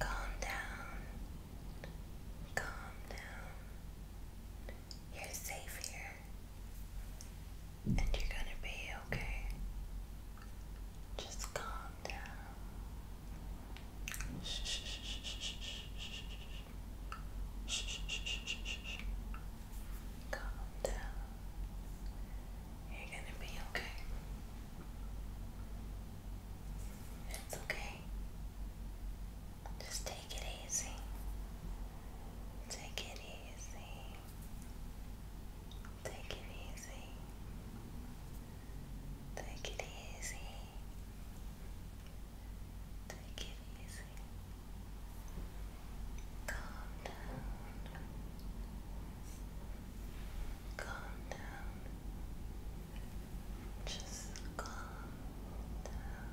Calm down. Calm down. You're safe here. And you're gonna be okay. Just calm down. Shh, shh, shh, shh, shh, shh, shh, shh, shh, shh, shh. Calm down. You're gonna be okay. It's okay. Just take it easy. Take it easy. Take it easy. Take it easy. Take it easy. Calm down. Calm down. Just calm down.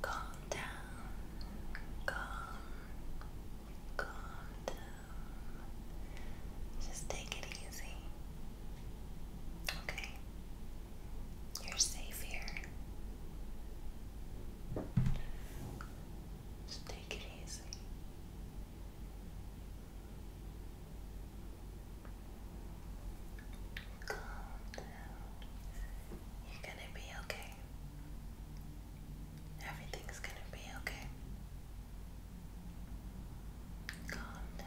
Calm down. Calm. Calm down. Just take it easy. Okay. You're safe here. Just take it easy. Calm down. You're gonna be okay. Everything's gonna be okay. Calm down.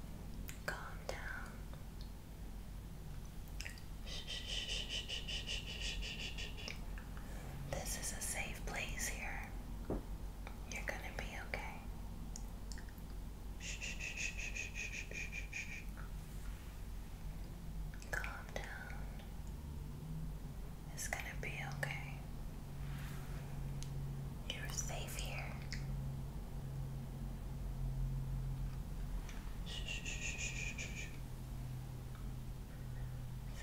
Calm down. This is a safe place here. You're gonna be okay. Calm down. It's gonna be okay. You're safe here. It's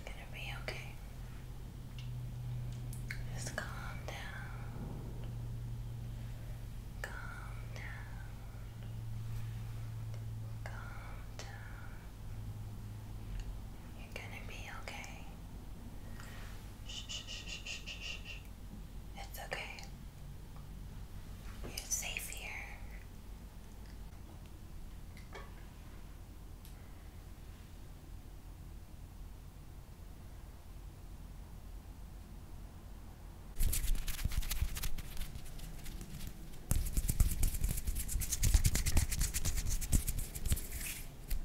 gonna be okay. Just calm down. Calm down. Calm down. You're gonna be okay. It's okay. You're safe here.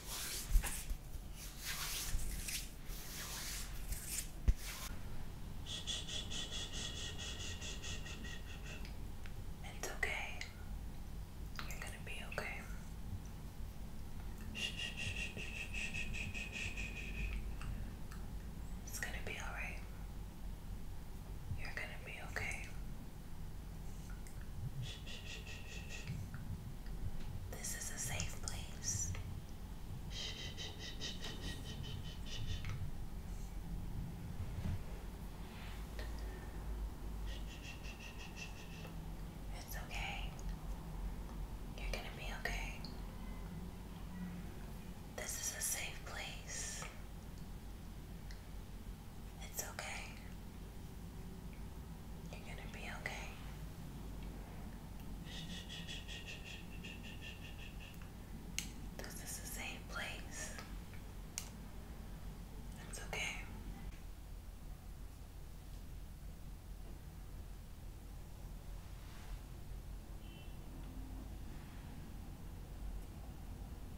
It's okay. You're gonna be okay. It's gonna be alright. You're gonna be okay. This is a safe place. It's okay. You're gonna be okay. This is a safe place. It's okay. You're gonna be okay. This is a safe place. It's okay.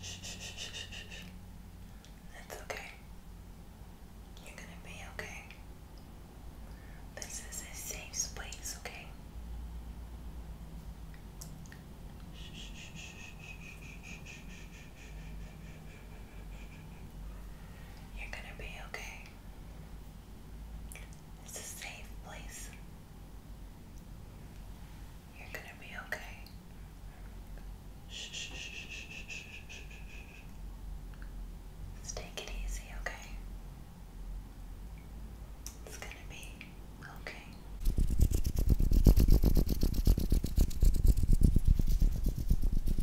Shh, okay. You're gonna be okay. This is a safe space, okay? You're gonna be okay. It's a safe place. You're gonna be okay. Let's take it easy, okay? It's gonna be okay.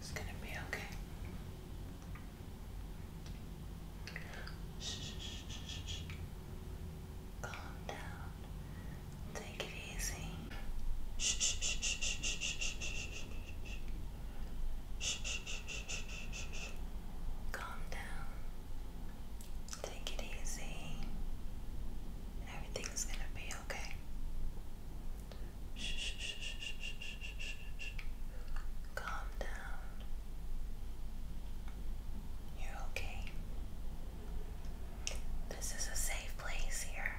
It's gonna be okay. Calm down. Take it easy. Calm down. Take it easy. Everything's gonna be okay. Shh, shh, shh, shh, shh, shh, shh, shh. Calm down. You're okay. This is a safe place here.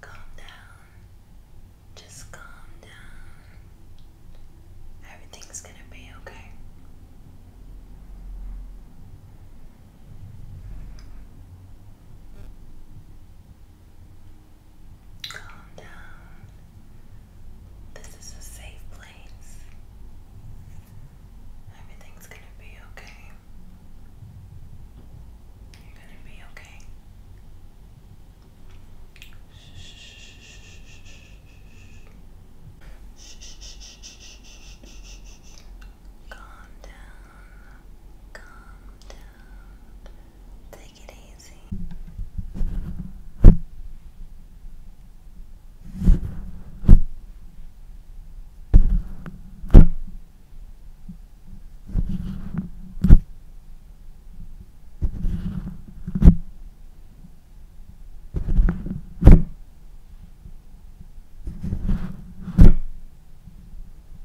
Calm down. Just calm down. Everything's going to be okay. Calm down. This is a safe place. Everything's gonna be okay. You're gonna be okay. Calm down. Calm down. Take it easy.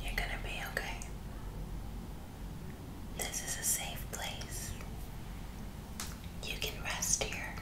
You're gonna be okay. This is a safe place. You can rest here.